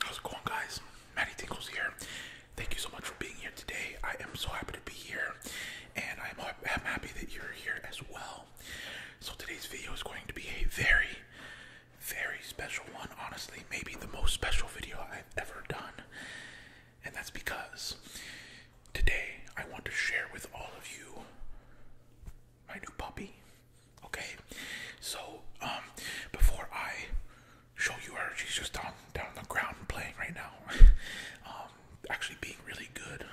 How's it going, guys? Maddie Tinkles here. Thank you so much for being here today. I am so happy to be here, and I'm happy that you're here as well. So, today's video is going to be a very very special one, honestly, maybe the most special video I've ever done. And that's because today I want to share with all of you my new puppy. Okay? So, um, before I show you her, she's just down, down on the ground playing right now. um, actually being really good.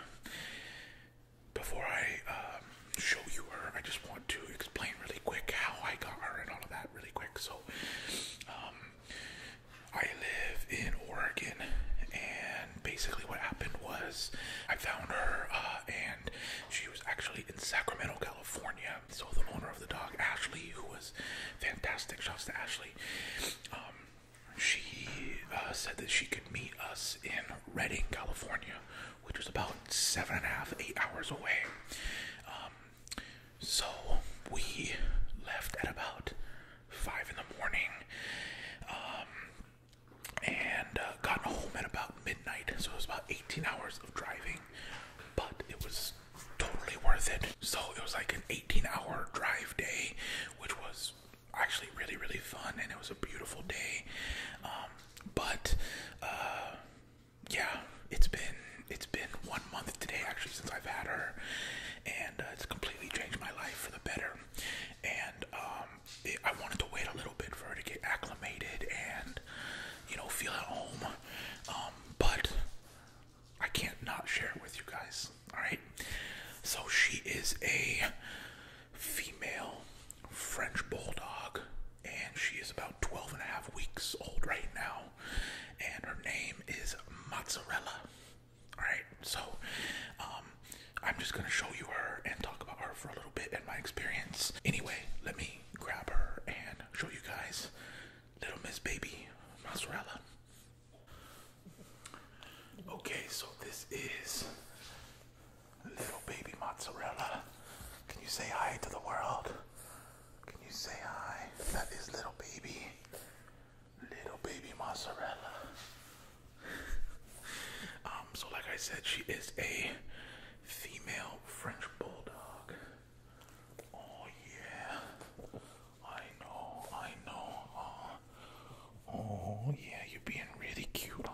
Before I um, show you her, I just want to explain really quick how I got her and all of that really quick. So, um, I live in Oregon, and basically, what happened was I found her, uh, and she was actually in Sacramento, California. So, the owner of the dog, Ashley, who was fantastic, shouts to Ashley, um, she uh, said that she could meet us in Redding, California, which was about seven and a half, eight hours away. Um, so we left at about five in the morning um, and uh, got home at about midnight. So it was about 18 hours of driving, but it was totally worth it. So it was like an 18 hour drive day, which was actually really, really fun. And it was a beautiful day. Um, but uh, yeah, it's been it's been one month today actually since I've had her, and uh, it's completely changed my life for the better. And um, I wanted to wait a little bit for her to get acclimated and you know feel at home, um, but I can't not share it with you guys. All right, so she is a female French bulldog, and she is about 12 and a half weeks old right now, and her name is Mozzarella. Alright, so um, I'm just gonna show you her and talk about her for a little bit and my experience. Anyway, let me grab her and show you guys little Miss Baby Mozzarella. Okay, so this is Little baby mozzarella. Can you say hi to the world? Can you say hi? That is little baby. Little baby mozzarella. um, so like I said, she is a female French bulldog. Oh yeah. I know, I know. Oh, yeah, you're being really cute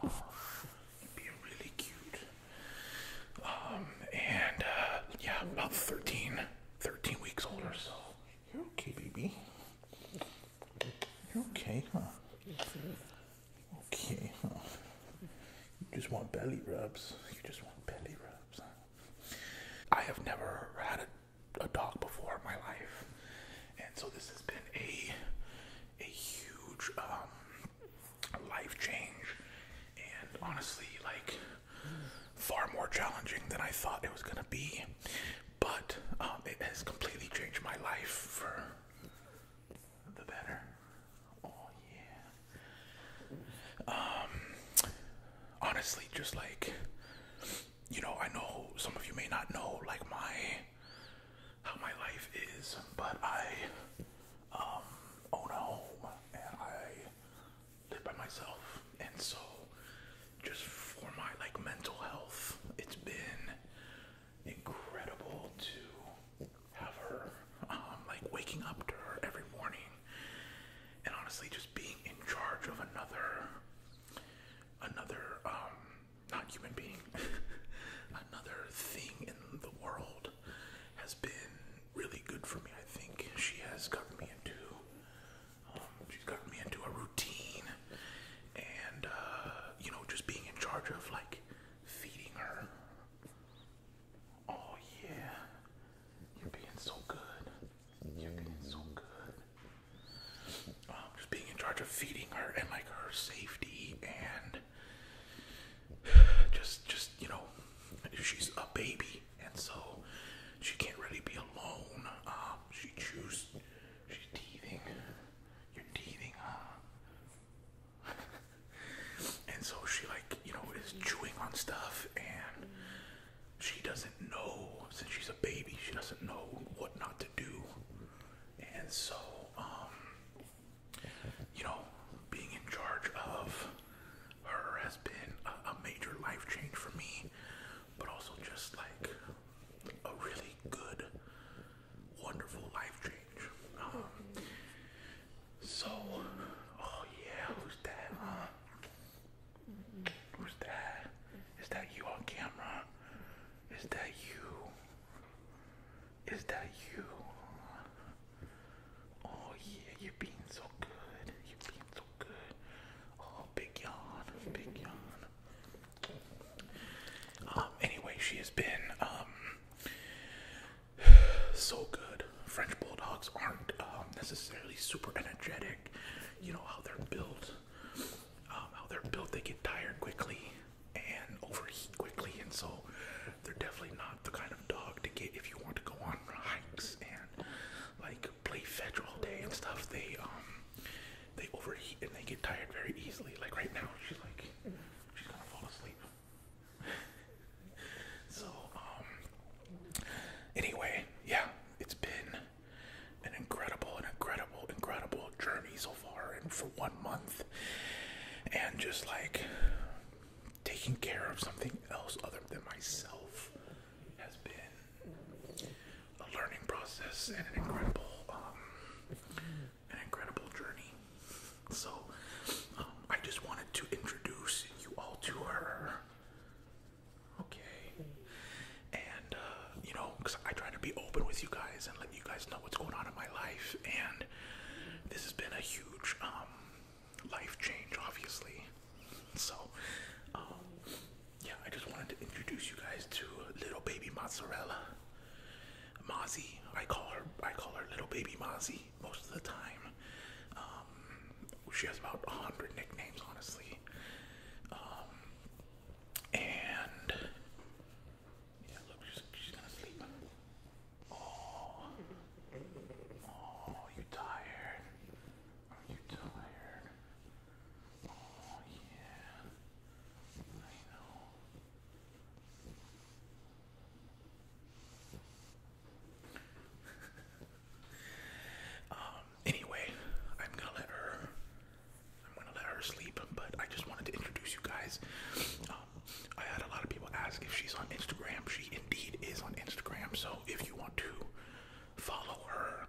be really cute. Um, and uh, yeah, about 13, 13 weeks old or so. You're okay, baby. You're okay, huh? Okay, huh? You just want belly rubs. You just want belly rubs. I have never had a dog before in my life, and so this has been a a huge um, life change, and honestly, like far more challenging than I thought it was gonna be. But um, it has completely changed my life for the better. Oh yeah. Um, honestly, just like you know, I know some of you may not know like my how my life is, but I um, own a and I live by myself, and so just for my like mental health, it's been incredible to have her. Um, like waking up to her every morning, and honestly, just being in charge of another, another um, not human being, another thing in the world has been really good for me. I think she has gotten me into, um, she's me into a routine, and uh, you know, just being in charge of like feeding her. Oh yeah, you're being so good. You're oh, doing so good. Um, just being in charge of feeding her and like her safety and just just you know she's a baby and so she can't really be alone. Um, she chews. She's teething. You're teething, huh? and so she like you know is chewing on stuff and she doesn't know since she's a baby she doesn't know what not to do and so um you know being in charge of her has been a, major life change for me but also just like a really good wonderful life change um, so oh yeah who's that uh, Who's that? Is that you on camera? Is that you? Is that you? Oh yeah, you're being so good. You're being so good. Oh, big yawn, big yawn. Um, anyway, she has been um so good. French bulldogs aren't um, necessarily super energetic you know how they're built, um, how they're built. They get tired quickly and overheat quickly, and so they're definitely not the kind of dog to get if you want to go on hikes and like play fetch all day and stuff. They um, they overheat and they get tired very easily. Like right now, she's like she's gonna fall asleep. so um, Anyway, yeah, it's been an incredible, an incredible, incredible journey so far, and for one month, and just like taking care of something else other than myself has been a learning process and an incredible, um, an incredible journey. So, um, I just wanted to introduce you all to her. Okay. And, uh, you know, because I try to be open with you guys and let you guys know what's going on in my life. And this has been a huge um, life change, obviously. So, um, yeah, I just wanted to introduce you guys to little baby mozzarella. Mozzie, I call her. I call her little baby Mozzie most of the time. Um, she has about 100 nicknames, honestly. Um, and. Yeah, look, she's, she's gonna sleep. Oh. Oh, you tired? Are you tired? Oh, yeah. I know. Um, anyway, I'm gonna let her. I'm gonna let her sleep, but I just wanted to introduce you guys. Um, I had a lot of people ask if she's on Instagram. She indeed is on Instagram. So if you want to follow her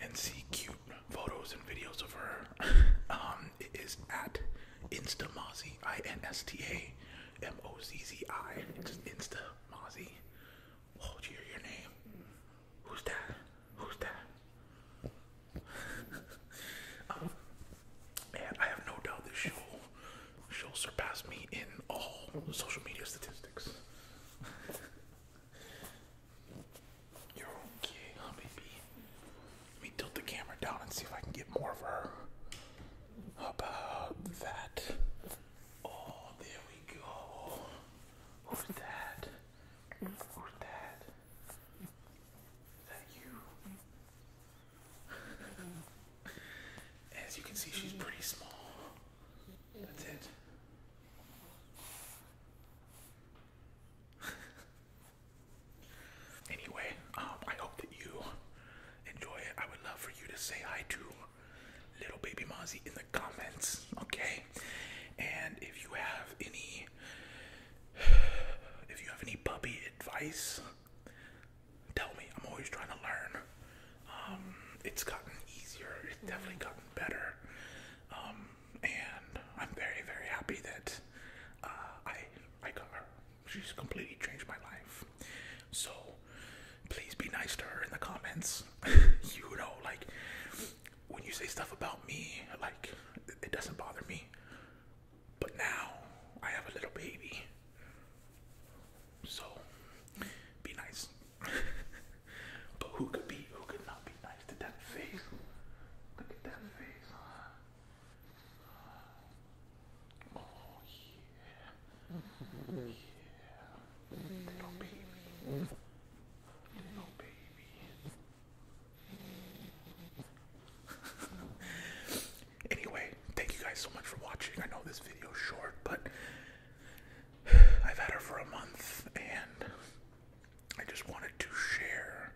and see cute photos and videos of her, um, it is at Instamazzi, I N S T A M O Z Z I. Just Insta Mozzie. Oh, your name? Who's that? Who's that? um, I have no doubt that she'll she'll surpass me in all social media statistics. You're okay, huh, baby? Let me tilt the camera down and see if I can get more of her. about that? Oh, there we go. Who's that? Who's that? Is that you? As you can see, she's pretty small. That's it. Anyway, um, I hope that you enjoy it. I would love for you to say hi to little baby Mozzie in the comments, okay? And if you have any, if you have any puppy advice, tell me. I'm always trying to learn. Um, it's gotten easier. It's mm-hmm. definitely gotten better. Um, and I'm very, very happy that uh, I I got her. She's completely changed my life. So please be nice to her in the comments. you know, like when you say stuff about me, like it doesn't bother me. But now I have a little baby. So be nice. but who could be who could not be nice to that face? Look at that face. Oh, yeah. yeah. Little baby. Little baby. anyway, thank you guys so much for watching. I know this video is short, but I've had her for a month and I just wanted to share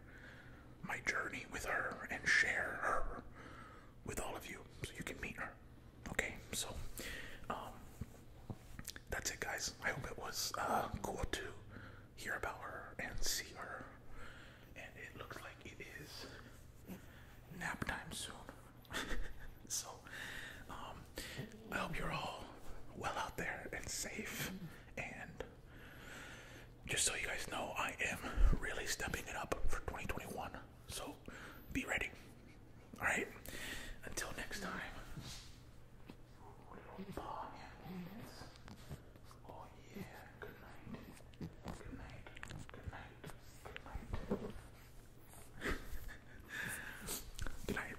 my journey with her and share her with all of you so you can meet her. Okay, so um, that's it, guys. I hope it was uh, cool to hear about her and see her. And it looks like it is nap time soon. so um, I hope you're all well out there and safe and just so you guys know, I am really stepping it up for 2021. So be ready. Alright? Until next time. Good night.